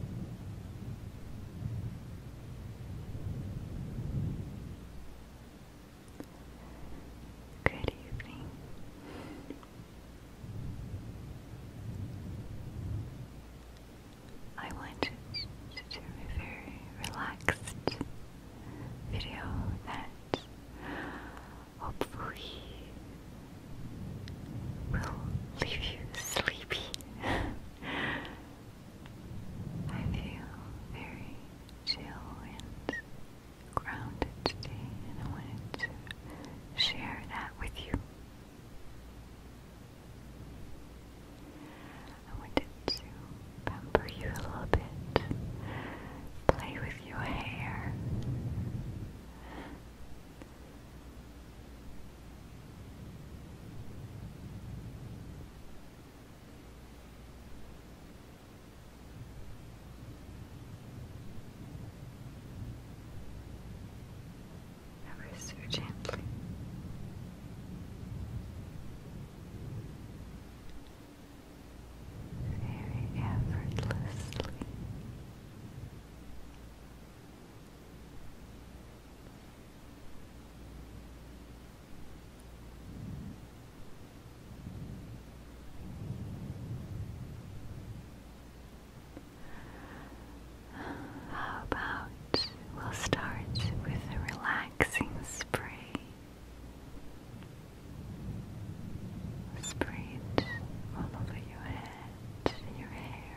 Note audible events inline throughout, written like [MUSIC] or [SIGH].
Good evening. I wanted to do a very relaxed video that hopefully will leave you sleepy. [LAUGHS] I feel very chill and grounded today, and I wanted to share that with you. I wanted to pamper you a little bit, play with your hair, Ever so gently. Very effortlessly. How about we'll start with a relaxing spray? Spray it all over your head, your hair.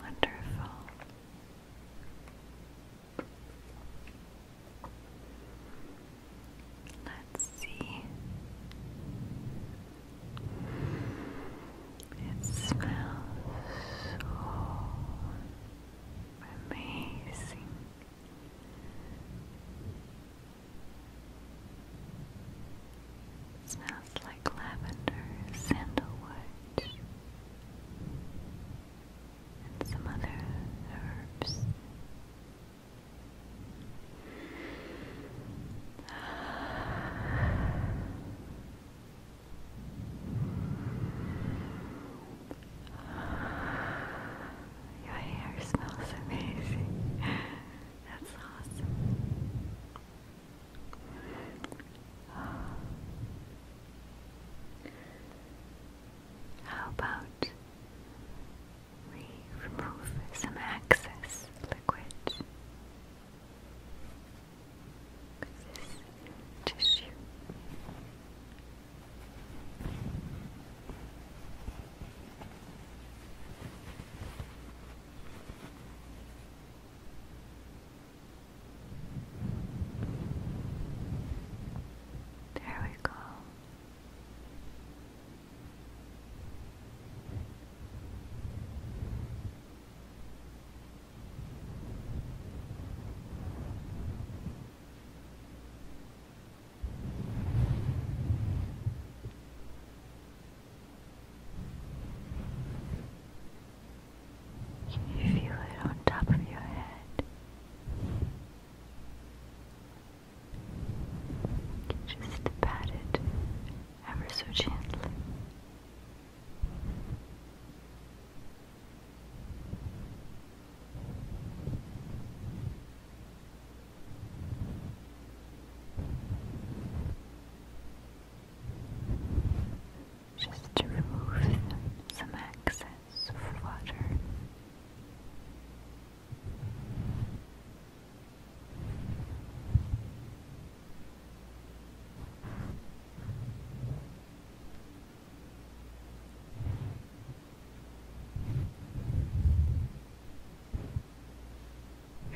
Wonderful. Let's see it smells so amazing. smells like lavender, sandalwood, and some other herbs. Your hair smells amazing. That's awesome. How about we remove some excess liquid this tissue there we go. Can you feel it on top of your head? You just pat it ever so gently just to remove some excess water.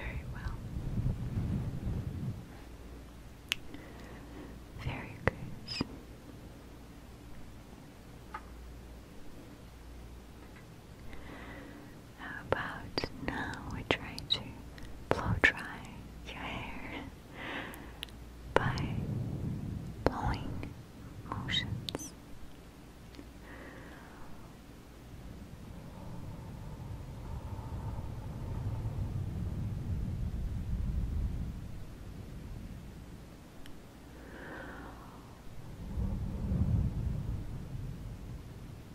Very well. Very good. How about now we try to blow dry your hair by blowing motions.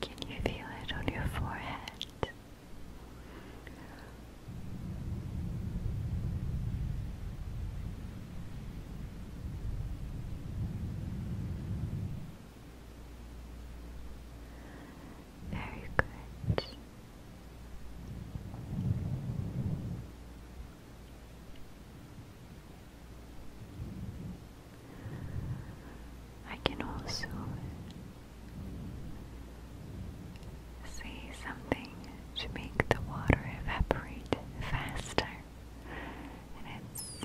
Can you feel it on your forehead? Very good. I can also say something to make the water evaporate faster, and it's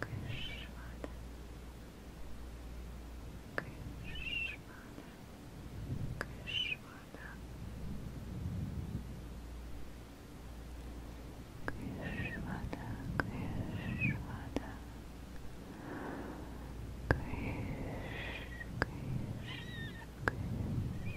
Krishvada Krishvada Krishvada Krishvada Krishvada Krish Krish Krish Krish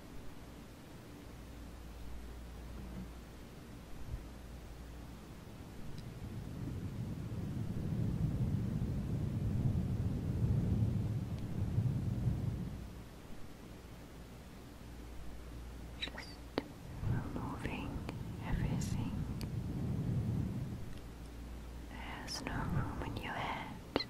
Just removing everything. There's no room in your head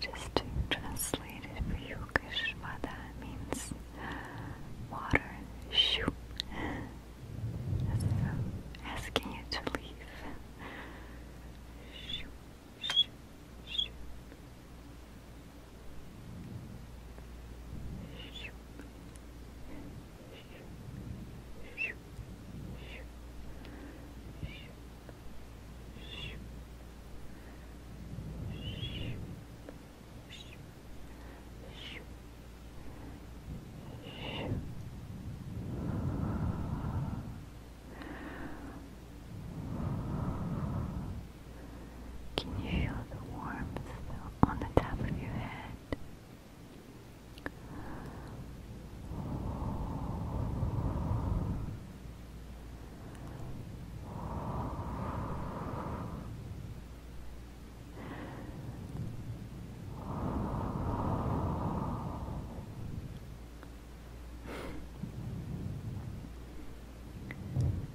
just to translate it for you, Kishvada means water shoo. asking you to leave. Shoo, shoo, shoo. Shoo. Can you feel the warmth on the top of your head?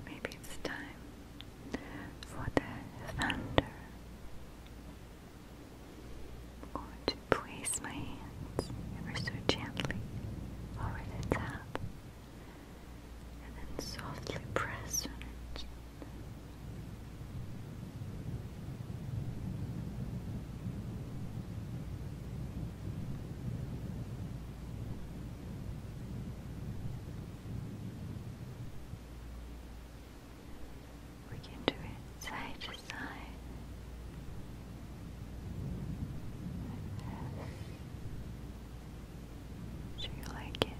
Maybe it's time for the thunder or to place my hands ever so gently over the top and then softly press on it. We can do it side to side. Do you like it?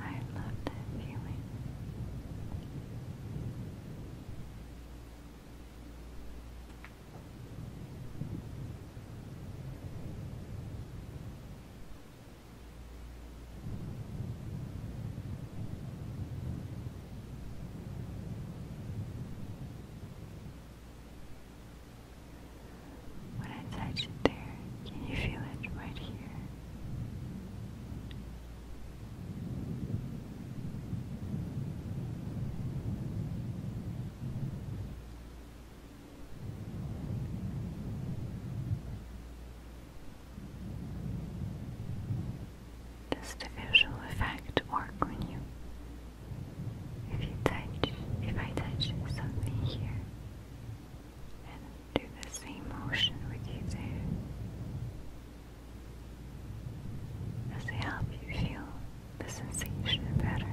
I love that feeling. When I touch it there, can you feel it right here? Does the visual effect work on you? If you touch, if I touch something here do the same motion with you too as they help you feel the sensation better.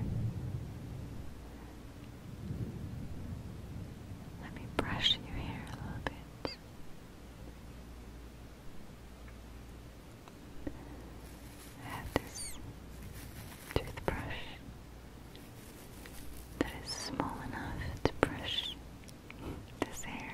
Let me brush your hair a little bit. I have this toothbrush that is small enough to brush this hair.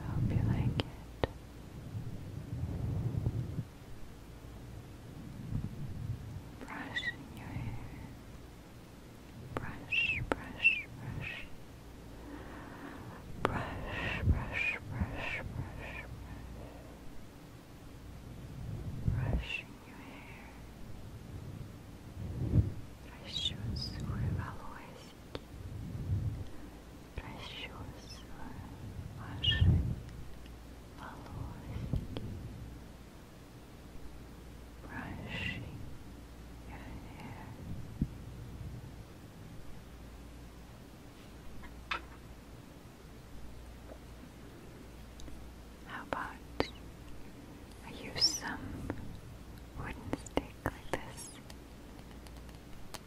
I hope you like it brushing your hair, brush, brush, brush, brush, brush, brush, brush, brush, brushing your hair. расчесываю волосики расчесываю ваши how about I use some wooden stick like this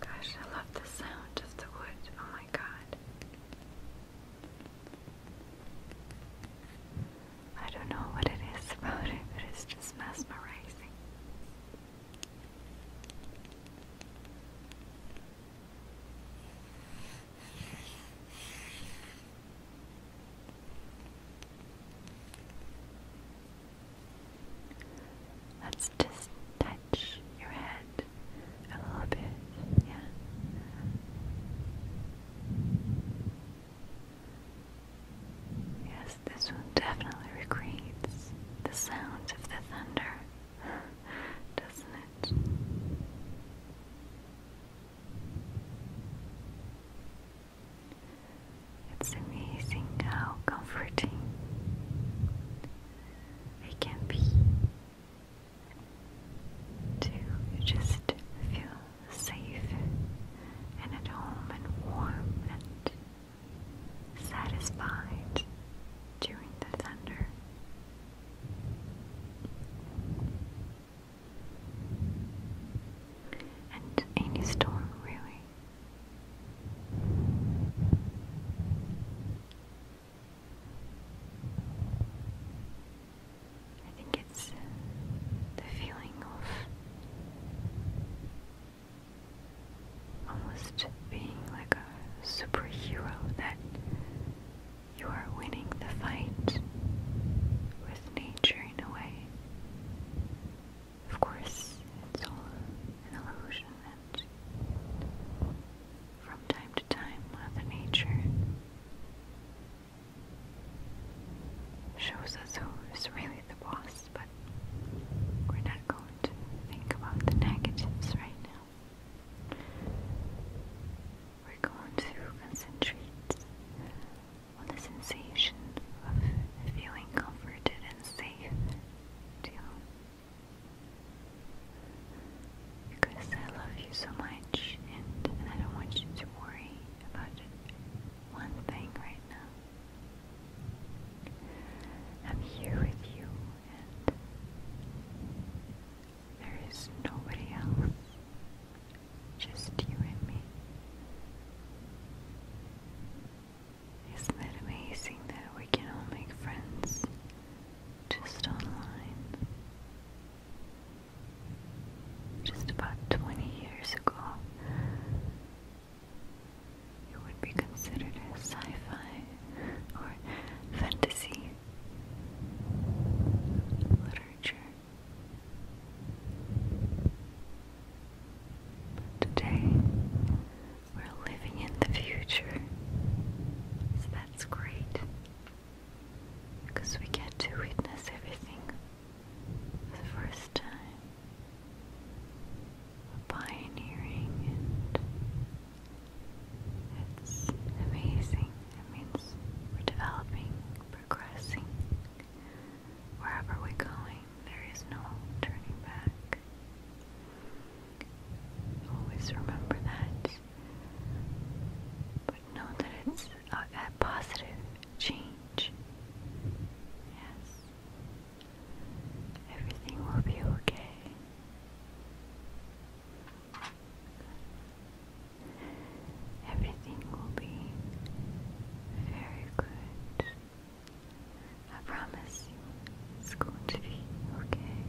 Gosh, I love the sound of the wood. Oh my god. I don't know what it is about it, it's just mesmerizing. Let's just touch your head a little bit, yeah. Yes, this one definitely recreates the sounds of the thunder. [LAUGHS] doesn't it? It's amazing how comforting it can be to just feel safe and at home and warm and satisfied during the thunder. And any storm, really. I think it's the feeling of almost being like a superhero that you are winning the fight with nature in a way. Of course, it's all an illusion, and from time to time, Mother uh, Nature shows us who is really the boss, but we're not going to think about the negatives right now. We're going to concentrate on the sensation of feeling comforted and safe to Because I love you so much and I don't want you to worry about one thing right now. I'm here with you there is nobody else, just you and me. Isn't it amazing that we can all make friends just online? Just about 20 years ago, it would be considered sci fi or fantasy literature. today we're living in the future, so that's great because we get to witness everything for the first time. Pioneering and it's amazing. It means we're developing, progressing. Wherever we're going, there is no turning back. Always remember that. But know that it's a positive change. Yes. Everything will be okay. Everything will be very good. I promise it's going to be okay.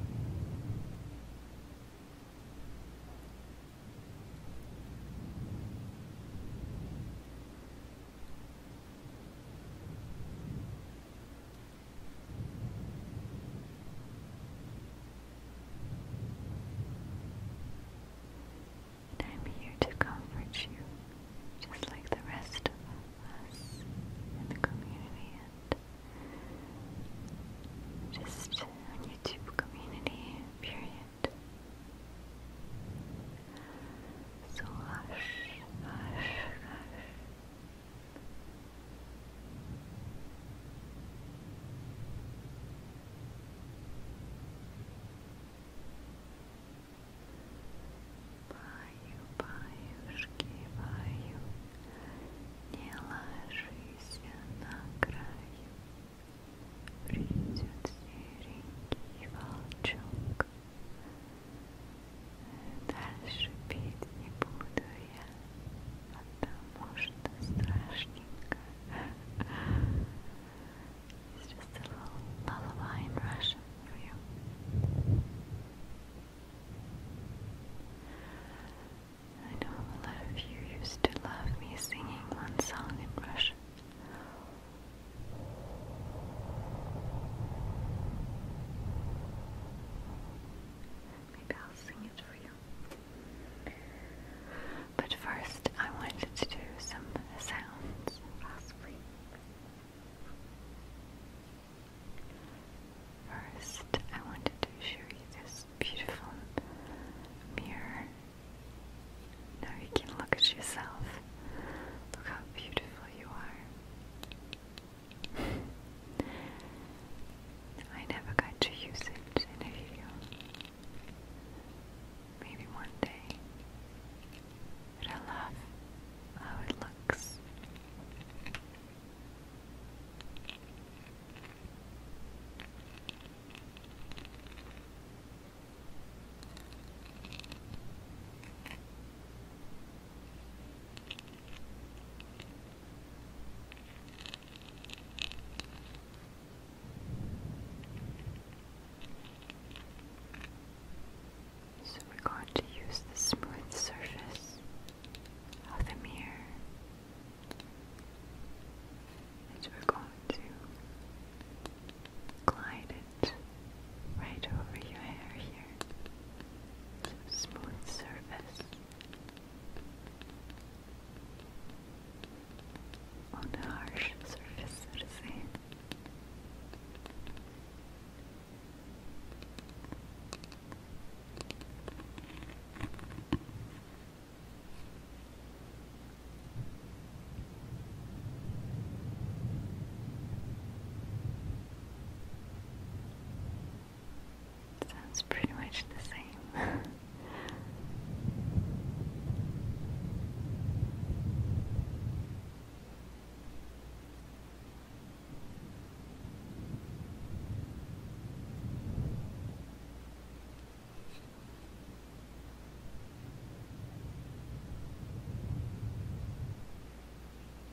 And I'm here to comfort you, just like the rest of us in the community and just YouTube community, period. So hush, hush, hush. Баю, баюшки, баю, не ложися на краю. Придет серенький волчок, it's just a little lullaby in Russian for you. I know a lot of you used to love me singing one song in Russian. Maybe I'll sing it for you. But first, I wanted to do some sounds, possibly. First, I wanted to show you this beautiful mirror. Now you can look at yourself. Look how beautiful you are. I never got to use it in a video. Maybe one day. I love how it looks. So we're going to use the smooth surface of the mirror, and we're going to glide it right over your hair here. smooth surface on a harsh surface, so to Sounds pretty much the same. [LAUGHS]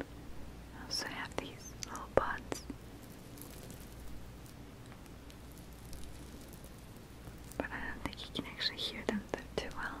I also have these little pots. But I don't think you can actually hear them too well.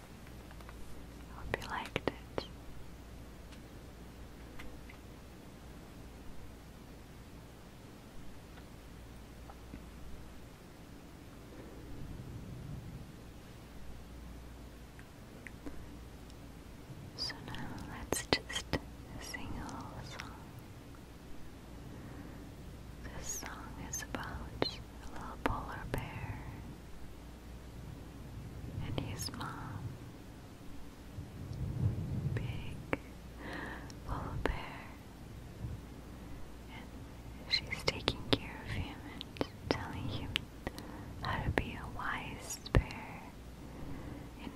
I hope you liked it. So now let's just sing a song. This song is about a little polar bear and his mom. Big polar bear. And she's taking care of him and telling him how to be a wise bear in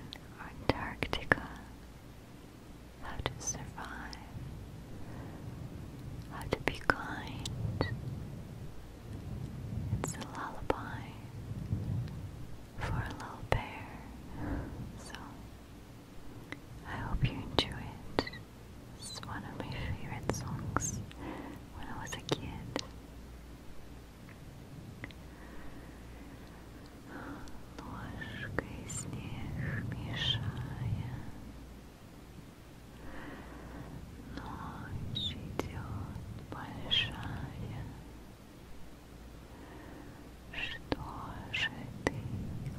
Antarctica, how to survive how to be kind. It's a lullaby for a little bear. So I hope you enjoy it. It's one of my favorite songs when I was a kid. Ночь идет большая. Что же ты,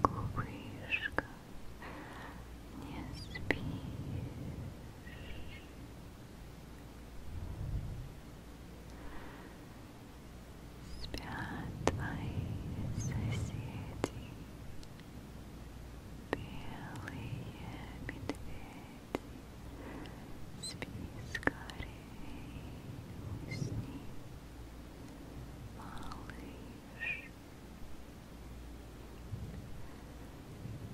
глупышка, не спишь? Спят твои соседи белые медведи спи скорей усни малыш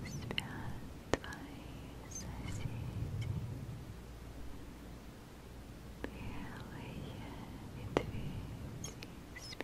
спят твои соседи белые медведи спят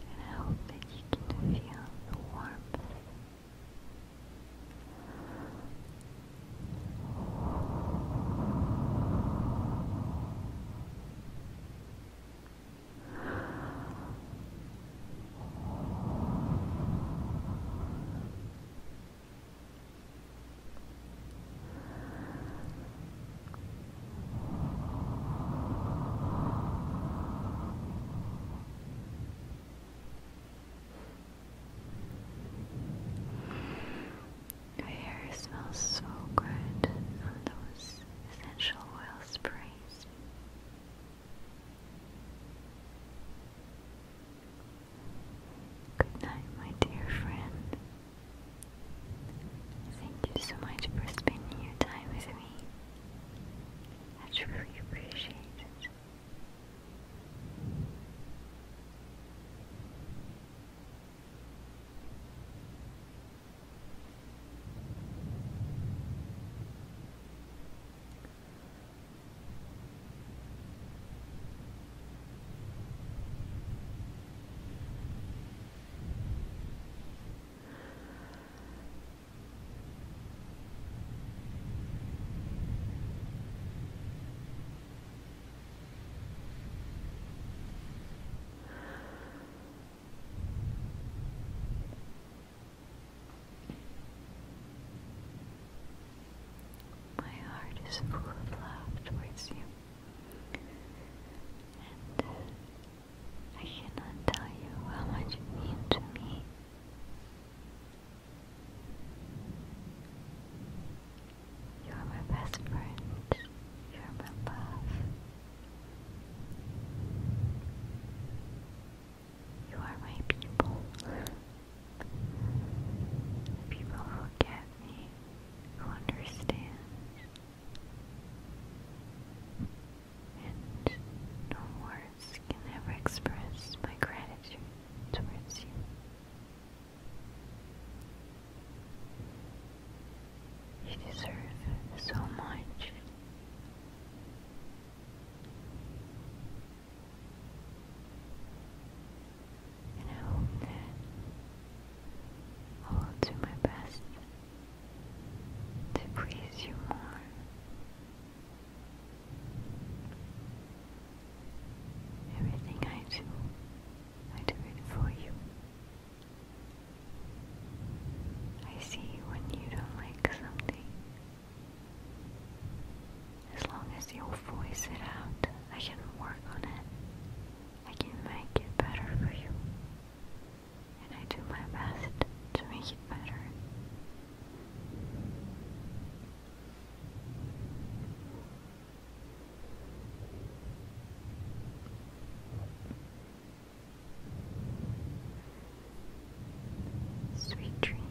And I hope that you can feel the warmth. Your hair smells so good on those essential oil sprays. Good night, my dear friend. Thank you so much for spending your time with me. I truly appreciate it. My heart is full of love towards you, I cannot tell you how much you mean to me. You are my best friend. You are my love. You are my people. people who get me, who understand no words can ever express my gratitude towards you. You deserve so much. And I I will do my best to please you more. Everything I do, I do it for you. I see when you don't like something. As long as you voice it out, I can work on it. I can make it better for you and I do my best to make it better. Sweet dreams.